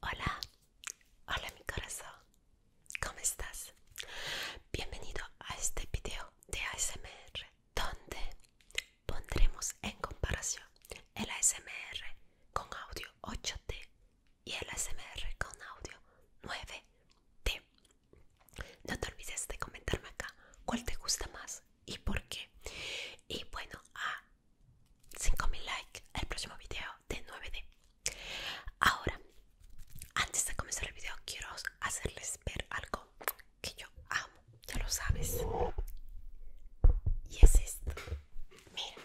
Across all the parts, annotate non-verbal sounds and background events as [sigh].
Hola, hola mi corazón, ¿cómo estás? Bienvenido a este video de ASMR donde pondremos en comparación el ASMR con audio 8T y el ASMR con audio 9T. No te olvides de comentarme acá cuál te gusta más y por qué. Y bueno, a ah, 5000 likes el próximo video de 9D. Ahora, antes de comenzar el video, quiero hacerles ver algo que yo amo, ya lo sabes. Y es esto. Mira.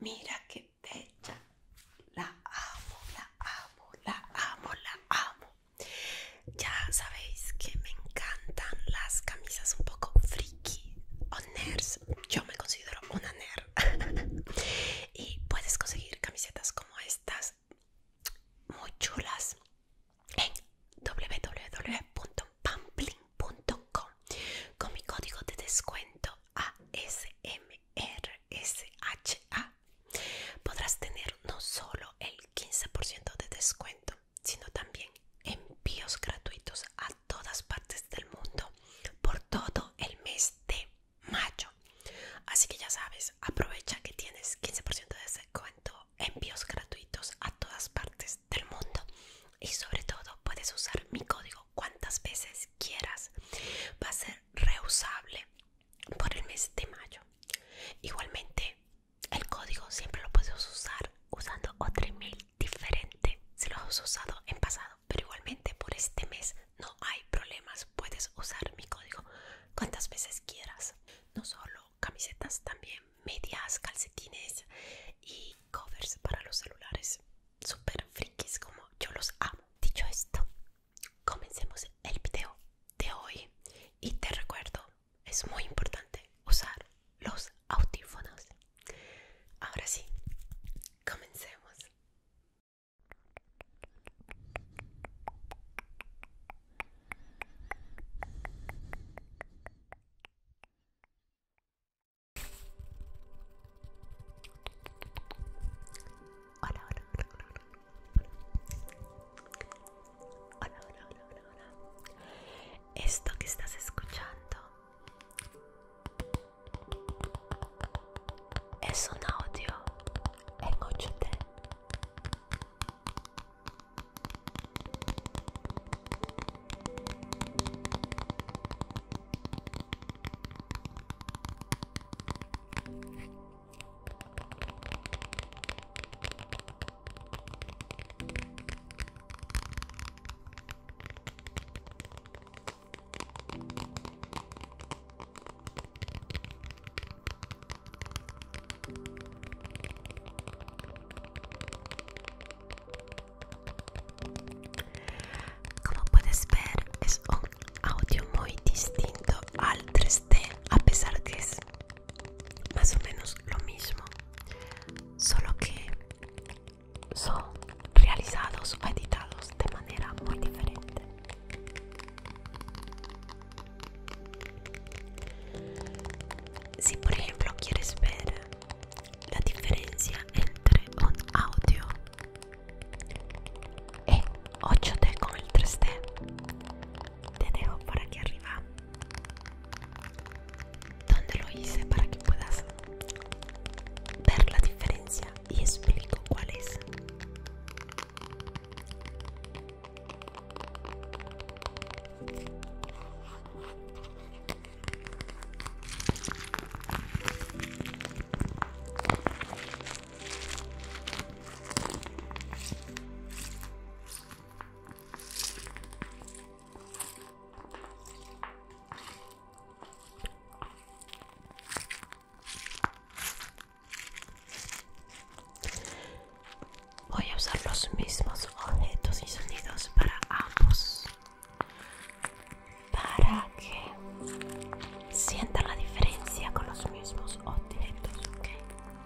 Mira qué bella. La amo, la amo, la amo, la amo. Ya sabéis que me encantan las camisas un poco o nerds, yo me considero una nerd. [laughs] y puedes conseguir camisetas como estas muy chulas en www.pampling.com con mi código de descuento ASMRSHA podrás tener no solo el 15% de descuento sino también envíos gratuitos a todas partes del mundo por todo el mes de mayo. Así que ya sabes, aprovecha que tienes 15% de descuento, envíos gratuitos a todas partes del mundo y sobre todo puedes usar mi código cuantas veces quieras. Va a ser reusable por el mes de mayo. Igualmente el código siempre lo puedes usar usando otro email diferente si lo has usado en pasado, pero igualmente por este mes no hay problemas. Puedes usar mi código cuantas veces quieras. No solo camisetas, también medias, calcetines y covers para los celulares. Super frikis como yo los amo. Dicho esto, comencemos el video de hoy y te recuerdo es muy importante usar los audífonos. Ahora sí, comencemos. hola, Hola, hola, hola, hola, hola. Esto que estás escuchando es un audio en ecco, 8D. Como puedes ver, es un audio muy distinto al 3D, a pesar que es más o menos lo mismo, solo que son realizados o editados de manera muy diferente. Si por ejemplo quieres ver la diferencia entre un audio en 8D con el 3D te dejo por aquí arriba donde lo hice para que puedas ver la diferencia y explico cuál es Voy a usar los mismos objetos y sonidos para ambos para que sientan la diferencia con los mismos objetos,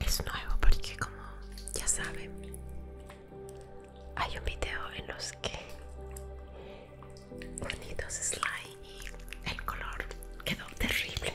Es nuevo porque como ya saben, hay un video en los que dos slime y el color quedó terrible.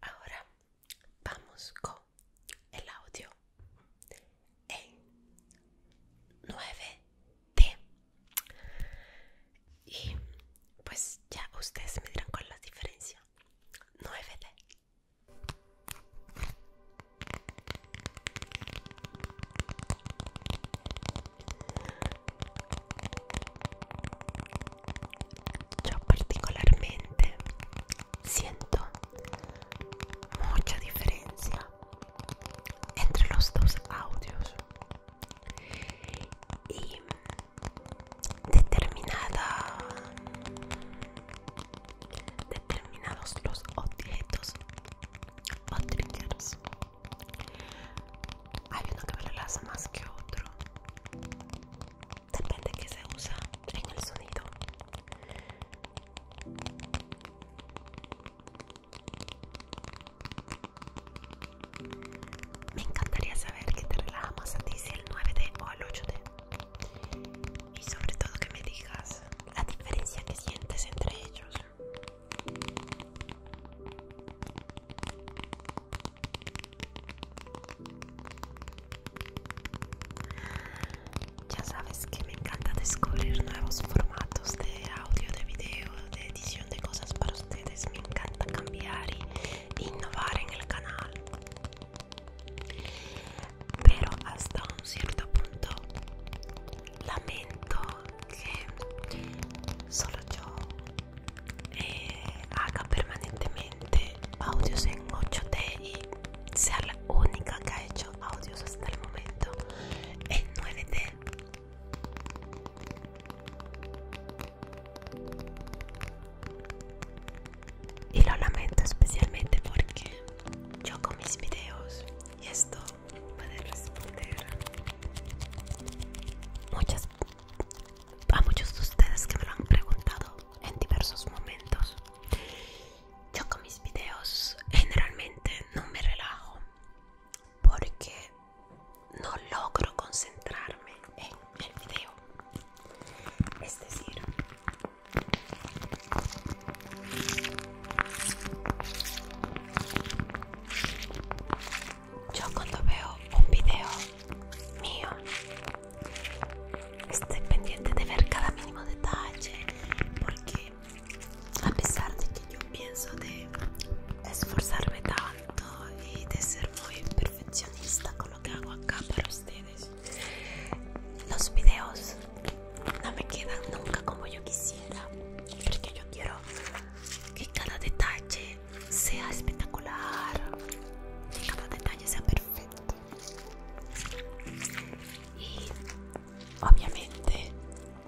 Ahora vamos con el audio. 9D. Y pues ya ustedes me dirán cuál la diferencia. 9D. Yo particularmente siento mucha diferencia entre los dos audios y determinada determinados los objetos o hay uno que me más que otro depende que se usa en el sonido me encantaría saber que te relaja más a ti, si el 9D o el 8D. Y sobre todo que me digas la diferencia que sientes entre ellos. Ya sabes que me encanta descubrir nuevos formatos de audio, de video, de edición de cosas para ustedes. Me encanta cambiar y innovar en el canal. Pero hasta un cierto punto lamento que solo yo eh, haga permanentemente audios en 8D y sea la única que ha hecho audios hasta el momento en 9D. Y lo lamento especialmente porque yo con mis videos y esto puede responder muchas a muchos de ustedes que me lo han preguntado en diversos momentos yo con mis videos generalmente no me relajo porque no logro concentrarme en el video. Es decir, yo cuando veo un video mío, estoy pendiente de ver cada mínimo detalle porque a pesar de que yo pienso de esforzarme tanto y de ser muy perfeccionista con lo que hago acá para ustedes, los videos no me quedan nunca como yo quisiera, porque yo quiero que cada detalle sea espectacular, que cada detalle sea perfecto. Y obviamente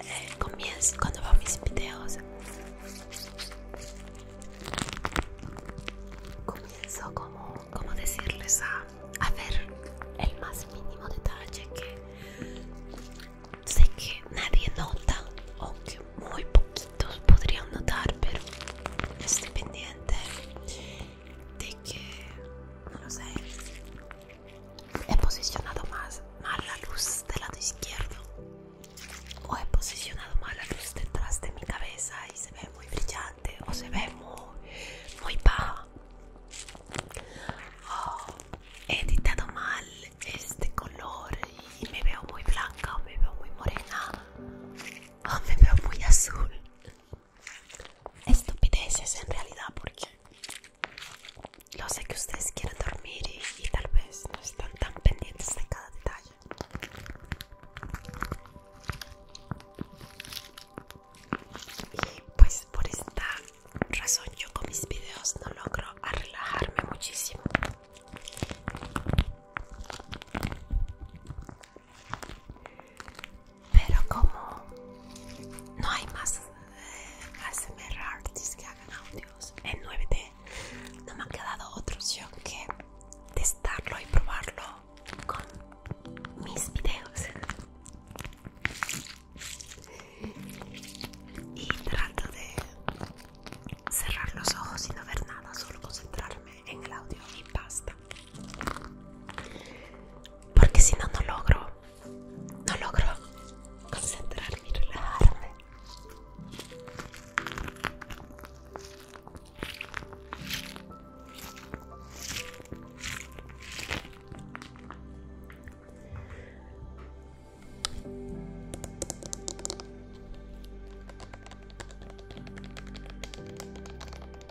eh, comienzo cuando veo mis videos comienzo como, decirles a, a ver el más mínimo detalle que sé que nadie nota o que muy poquitos podrían notar pero estoy pendiente de que, no lo sé, he posicionado más mal la luz del lado izquierdo o he posicionado mal la luz detrás de mi cabeza y se ve muy brillante o se ve muy, muy baja. Oh, he editado mal este color y me veo muy blanca o me veo muy morena o [laughs] me veo muy azul estupideces en realidad porque lo sé que ustedes quieren dormir y, tal vez no están tan pendientes de cada detalle. Y pues por esta razón yo con mis videos no logro relajarme muchísimo. Pero como no hay más eh, ASMR artists que hagan audios en 9D, no me ha quedado otra opción que testarlo y probarlo con mis videos. Y trato de cerrar los ojos y no ver nada, solo concentrarme en el audio y basta. Porque si no, no logro. No logro concentrarme y relajarme.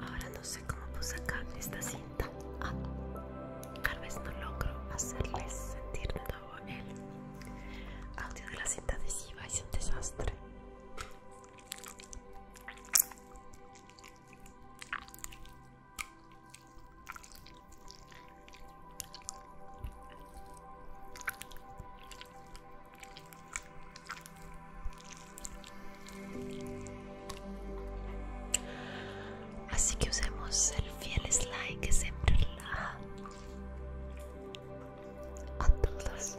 Ahora no sé cómo puse acá esta cinta. Ah, tal vez no logro hacerles sentir de nuevo el audio de la cinta adhesiva. Es un desastre. Así que usemos el fiel slide que siempre relaja a todos.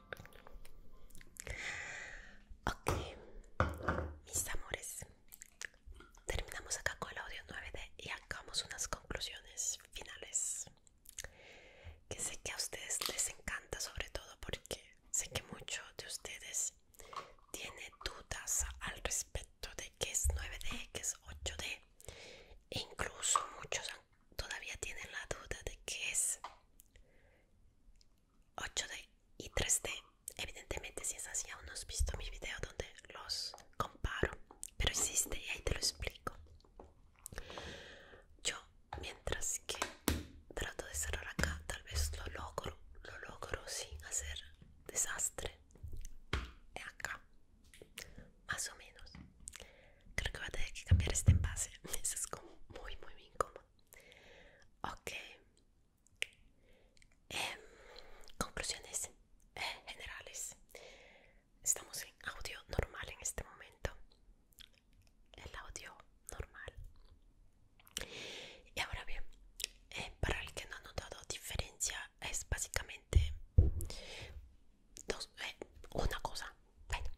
Ok, mis amores, terminamos acá con el audio 9D y hagamos unas conclusiones finales. Que sé que a ustedes les encanta, sobre todo porque sé que muchos de ustedes tienen dudas al respecto de que es 9D, que es 8D. E incluso muchos todavía tienen la duda de qué es 8D y 3D. Evidentemente, si es así, aún no has visto mi video donde los comparo, pero existe y ahí te lo explico. Yo, mientras que trato de cerrar acá, tal vez lo logro, lo logro sin hacer desastre. Acá, más o menos. Creo que va a tener que cambiar este envase. [laughs] Eso es como muy, muy incómodo. Ok. Em, conclusiones eh, generales. Estamos en audio normal en este momento. El audio normal. Y ahora bien, eh, para el que no ha notado diferencia es básicamente eh, una cosa bueno,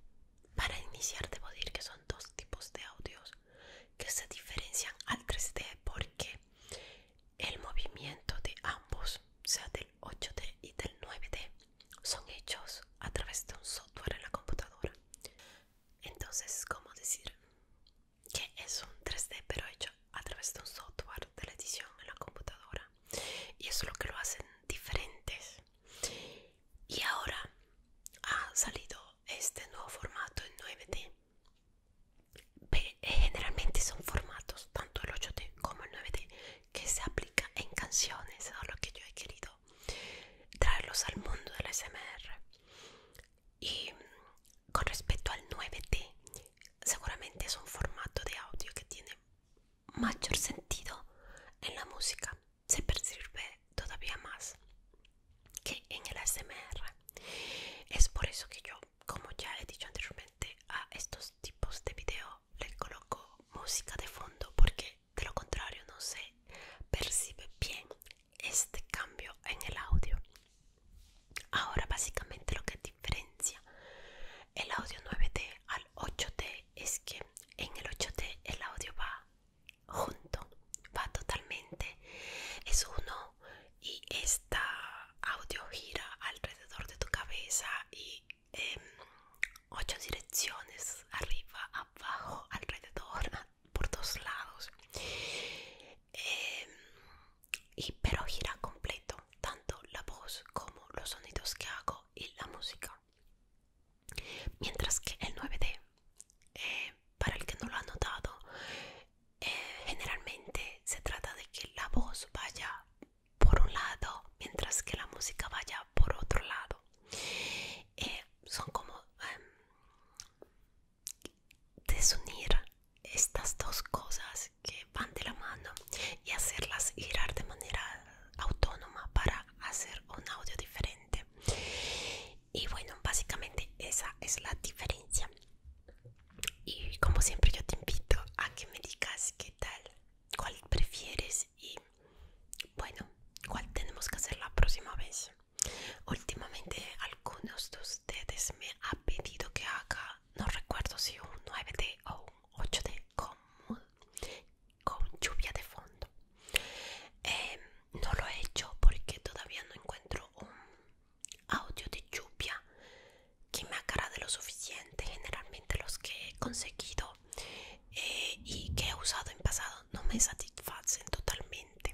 para iniciar debo decir que son dos tipos de audios que se diferencian al 3D porque el movimiento de ambos, o sea del 8D y del 9D, son hechos a través de un software en la computadora. Entonces, como decir? Que es un 3D pero hecho a través de un software de la edición en la computadora. Y eso es lo que lo hacen diferentes y ahora ha salido este nuevo formato en 9D eh, generalmente son formatos tanto el 8D como el 9D que se aplica en canciones es lo que yo he querido traerlos al mundo del SMR y mm, con respecto al 9D seguramente es un formato de audio que tiene mayor sentido en la música se percibe todavía más que en el ASMR. Es por eso que yo, como ya he dicho anteriormente, a estos tipos de video le coloco música de fondo porque de lo contrario no se percibe bien este cambio en el audio. Ahora básicamente lo que diferencia el audio 9D al 8D es que en el 8D el audio va junto, va totalmente, es uno y esta audio gira alrededor de tu cabeza y en em, ocho direcciones, arriba, abajo, alrededor, [laughs] por dos lados. Em, y pero gira completo tanto la voz como los sonidos que hago y la música Mientras que el 9D, eh, para el que no lo ha notado, eh, generalmente se trata de que la voz vaya por un lado mientras que la música vaya por otro lado. Eh, son como em, desunir estas dos cosas que van de la mano y hacerlas girar de manera autónoma para hacer un audio diferente y bueno básicamente esa es la diferencia y como siempre yo te invito a que me digas qué tal cuál prefieres y bueno cuál tenemos que hacer la próxima vez últimamente algunos de ustedes me han pedido que haga no recuerdo si un 9D o un 8D como con lluvia de fondo em, no lo he hecho porque todavía no encuentro un audio de lluvia que me de lo suficiente generalmente los que he conseguido eh, y que he usado en pasado no me satisfacen totalmente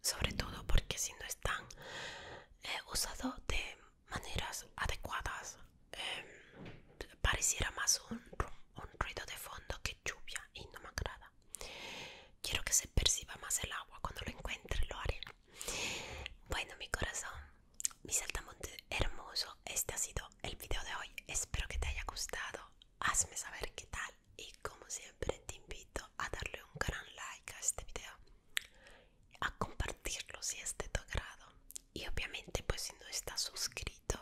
sobre todo porque si no están eh, usados de maneras adecuadas Em, pareciera más un, un ruido de fondo que lluvia y no me agrada. Quiero que se perciba más el agua cuando lo encuentre, lo haré. Bueno, mi corazón, mi saltamonte hermoso, este ha sido el video de hoy. Espero que te haya gustado. Hazme saber qué tal. Y como siempre, te invito a darle un gran like a este video, a compartirlo si es de tu agrado y obviamente pues si no estás suscrito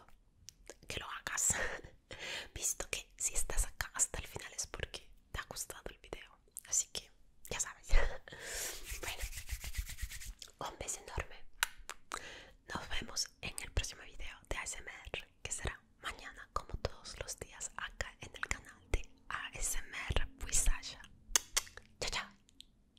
que lo hagas [laughs] visto que si estás acá hasta el final es porque te ha gustado el video así que ya sabes [laughs] bueno un beso enorme nos vemos en el próximo video de ASMR que será mañana como todos los días acá en el canal de ASMR Sasha. chao chao